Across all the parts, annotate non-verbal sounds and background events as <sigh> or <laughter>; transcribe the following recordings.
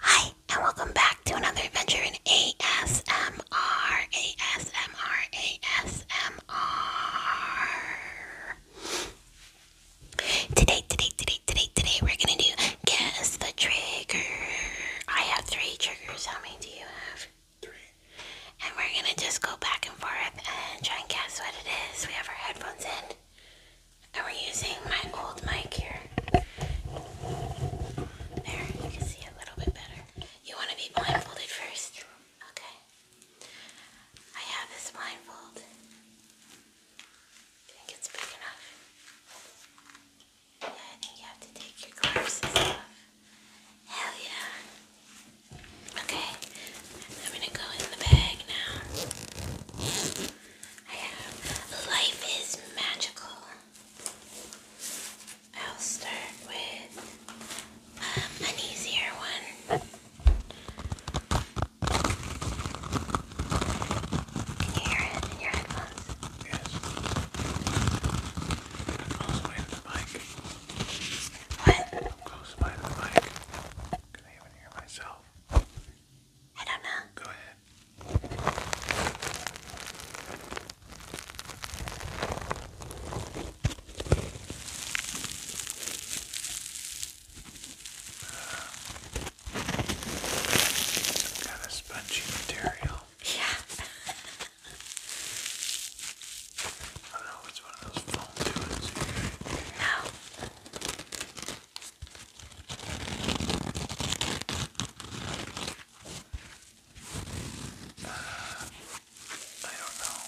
Hi, and welcome back to another adventure in ASMR. ASMR. ASMR. Today, today, today, today, today, we're gonna do guess the trigger. I have three triggers. How many do you have? Three. And we're gonna just go back and forth and try and guess what it is. We have our headphones in. And we're using my old mic here. There, you can see a little bit better. You want to be blindfolded first? Okay. I have this blindfold. I think it's big enough. Hell yeah. Okay, I'm gonna go in the bag now. I have Life is Magical. I'll start with um, an easier one. Can you hear it in your headphones? Yes. Close by the mic. Close by the mic. Because I even hear myself. I don't know. Go ahead. Some kind of spongy material. Yeah. I don't know it's one of those foam doings. No. I don't know.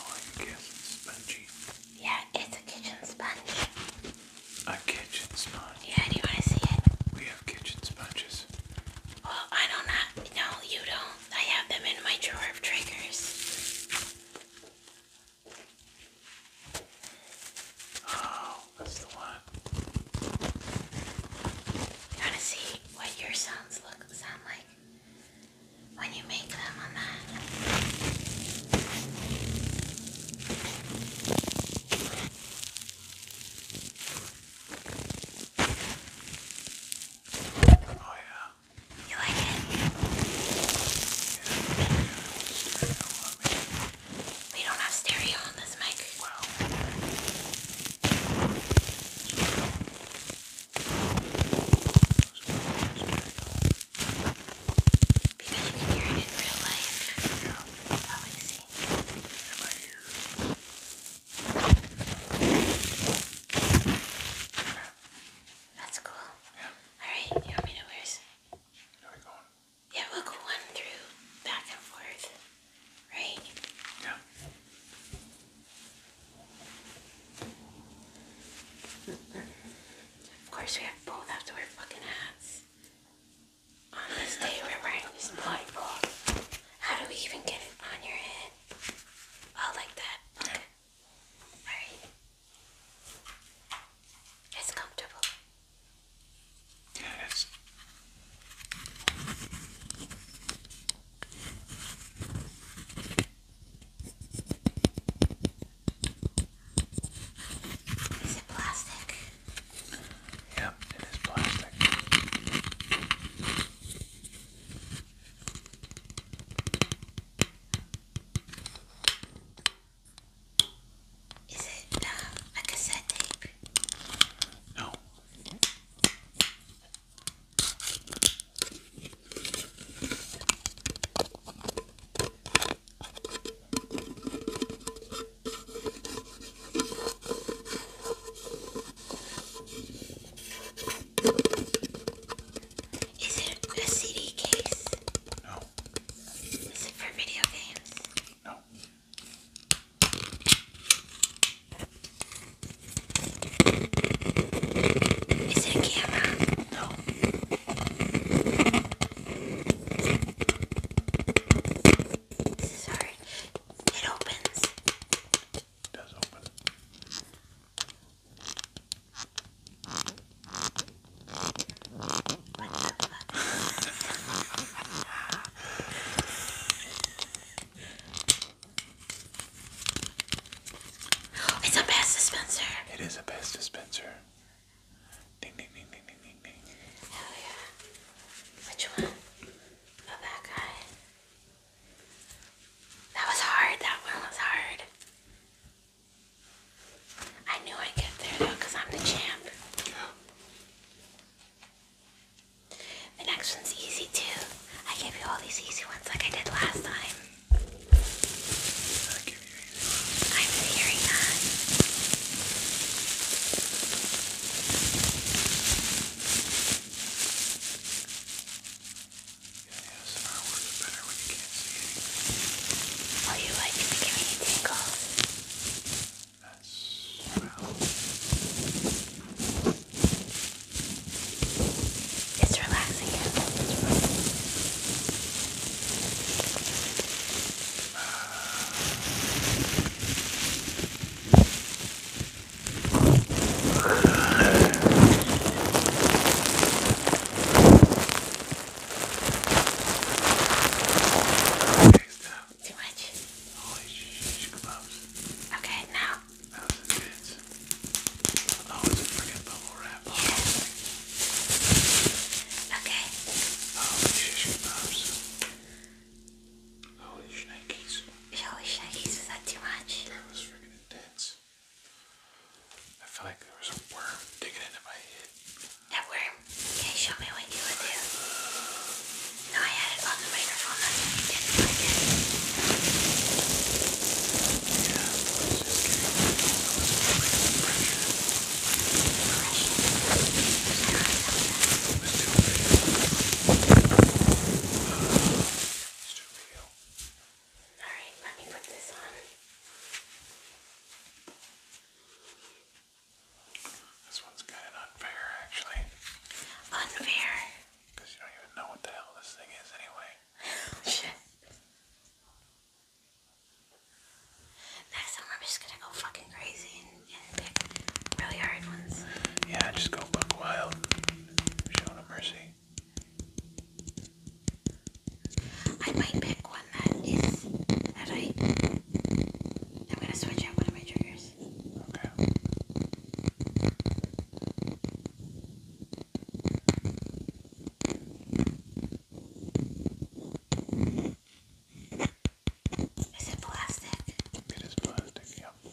All oh, I can Yeah, it's a kitchen sponge. A kitchen sponge? Yeah, do you want to see it? We have kitchen sponges. Well, oh, I don't know. No, you don't. I have them in my drawer of triggers. Oh, that's the one. You to see what your sounds look sound like when you make them on that? Oh yeah. You like it? yeah. We don't have stereo on this mic. Wow. Because you hear it in real life. Yeah. That's cool. Yeah. Alright, you want me to wear this? Yeah, we'll go one through back and forth, right? Yeah. Mm-hmm. Of course, we have both have to wear fucking hats. On this day, we're wearing this blindfold. How do we even get it on your head? Oh, like that. Alright. It's comfortable. Yeah, it is. plastic? Yep, it is plastic. Is it um, a cassette tape? No. Is it a CD case? No. Is it for video games? No. Is it a camera? No. This It opens. It does open. It's a best dispenser. It is a best dispenser. Ding yeah. Which one? Oh that guy. That was hard. That one was hard. I knew I'd get there though, I'm the champ. The next one's easy too. I give you all these easy ones like I did last time. I am hearing that. Yeah, yeah, somehow works better when you can't see anything. Oh, you like to give me tingles? That's... well... It's relaxing. Uh, too much? Holy sh close. Okay, now. That was intense. Oh, it's a freaking bubble wrap. Yeah. Okay. Holy shish kebabs. Holy shnikes. Holy shnikes, was that too much? That was freaking intense. I feel like there was a worm digging into my head. That worm? Can you show me what you do? I had it on the microphone, didn't like it. Yeah, it's just getting pressure. Pressure? It's Alright, let me put this on. This one's kind of unfair, actually. Unfair? Because you don't even know what the hell this thing is, anyway. Shit. Next time, I'm just gonna go fucking crazy and, pick really hard ones. Yeah, just go buck wild. Show no mercy. I might pick one that is that I I'm gonna switch out one of my triggers. Okay. Is it plastic? It is plastic, yeah.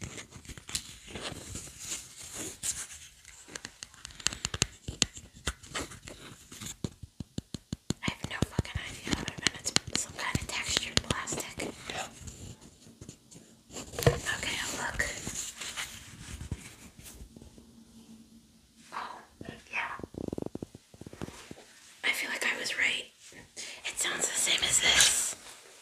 I have no fucking idea it is. some kind of textured plastic. Okay, look. Oh, yeah. I feel like I was right. It sounds the same as this.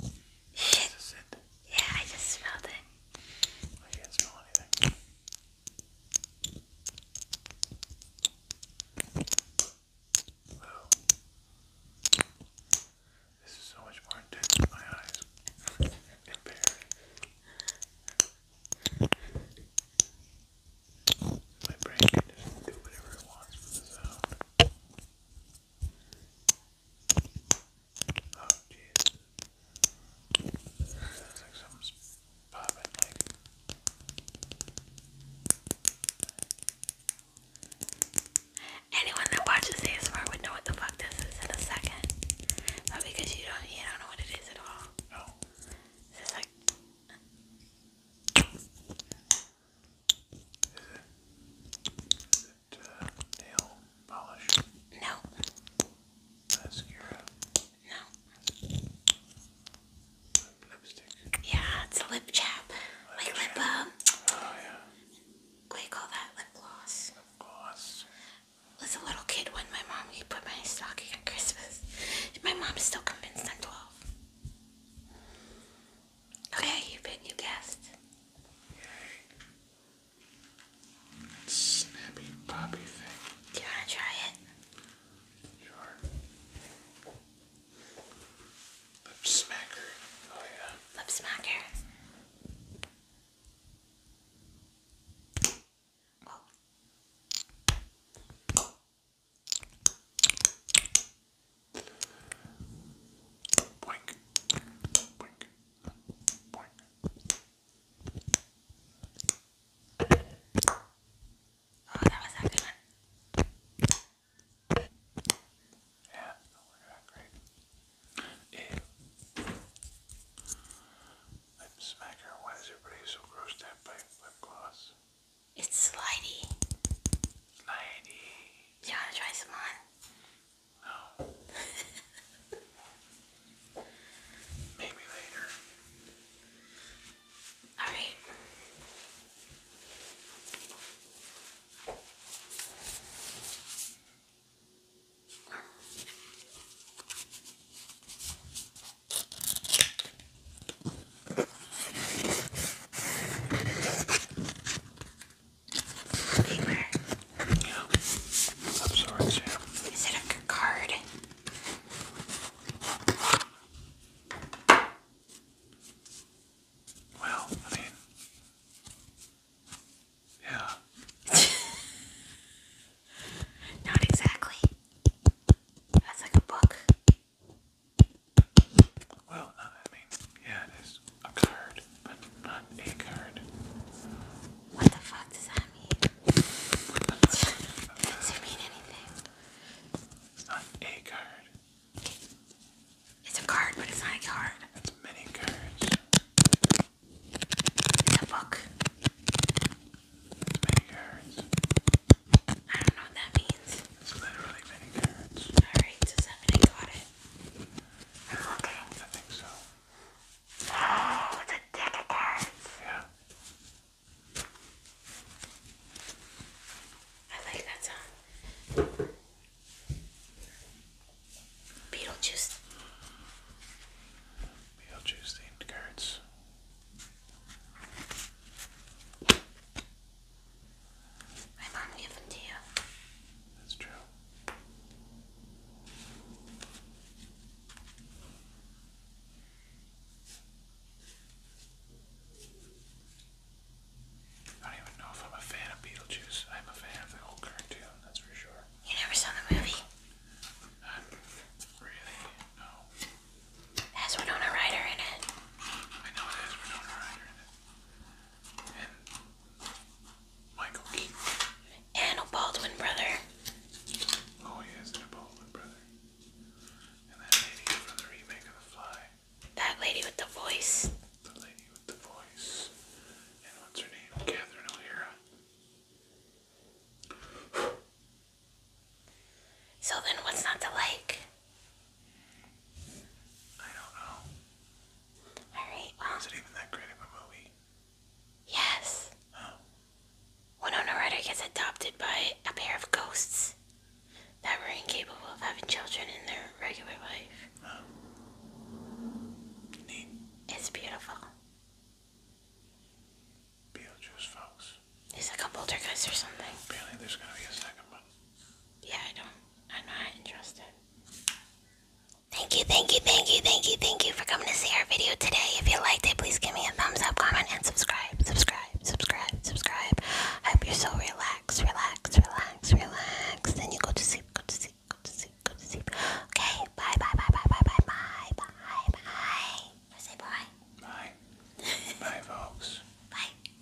This is Yeah, I just smelled it. Oh, I can't smell anything. This is so much more intense than my eyes. Impaired. My brain can just do whatever it wants with the Oh, Anyone that watches ASMR would know what the fuck this is in a second. But oh, because you don't, you don't know what it is at all it uh, nail polish? No. Mascara? No. Lipstick? Yeah, it's a lip chap. Lip like chap. lip balm. Um, uh, oh, yeah. What do you call that? Lip gloss. Lip gloss. Was a little kid when my mom he put my stocking on Christmas. My mom's still convinced I'm 12. Okay, you bet you guessed. Yay snappy poppy thing. Do you want to try it? Sure. Lip Oh yeah. Lip Oh, that was a good one. Yeah, that was not great. Ew. Lip smacker, why is everybody so grossed out by lip gloss? It's slidey. Slidey. Do you want to try some on? No. <laughs> Maybe later. Alright. Beamer. Yeah. Of sorts, yeah. Is it a card? Well, I mean, yeah. <laughs> Not exactly. That's like a book. Well, I mean, yeah, it is a card, but not a card. What the fuck does that mean? <laughs> does it mean anything? It's not a card. It's a card, but it's not a card. It's many cards. It's a book. many cards. I don't know what that means. It's literally many cards. Alright, so seven, got it. Okay. I think so. Oh, it's deck of cards. Yeah. I like that song. Beetlejuice. Beetlejuice themed cards. My mom gave them to you. That's true. I don't even know if I'm a fan of Beetlejuice. I'm a fan of the old cartoon, that's for sure. You never saw the movie? Not um, really, no. has Winona Ryder in it. I know it has Winona Ryder in it and Michael Keaton. And a brother. Oh, he is a Baldwin brother. And that lady from the remake of The Fly. That lady with the voice. The lady with the voice. And what's her name? Catherine O'Hara. So then, what's not to like? I don't know. Alright, well. it even that great of a movie? Yes. Oh. Winona Ryder gets adopted by a pair of ghosts that were incapable of having children in their regular life. Oh. It's beautiful. Beetlejuice, folks. There's like a poltergeist or something. Apparently there's gonna be a second one. Yeah, I don't. I'm not interested. Thank you, thank you, thank you, thank you, thank you for coming to see our video today. If you liked it, please give me a thumbs up, comment, and subscribe. Subscribe, subscribe, subscribe. I hope you're so relaxed, relaxed, relaxed, relaxed. Then you go to sleep, go to sleep, go to sleep, go to sleep. Okay, bye, bye, bye, bye, bye, bye, bye, bye, bye. I say bye. Bye. bye, folks. Bye.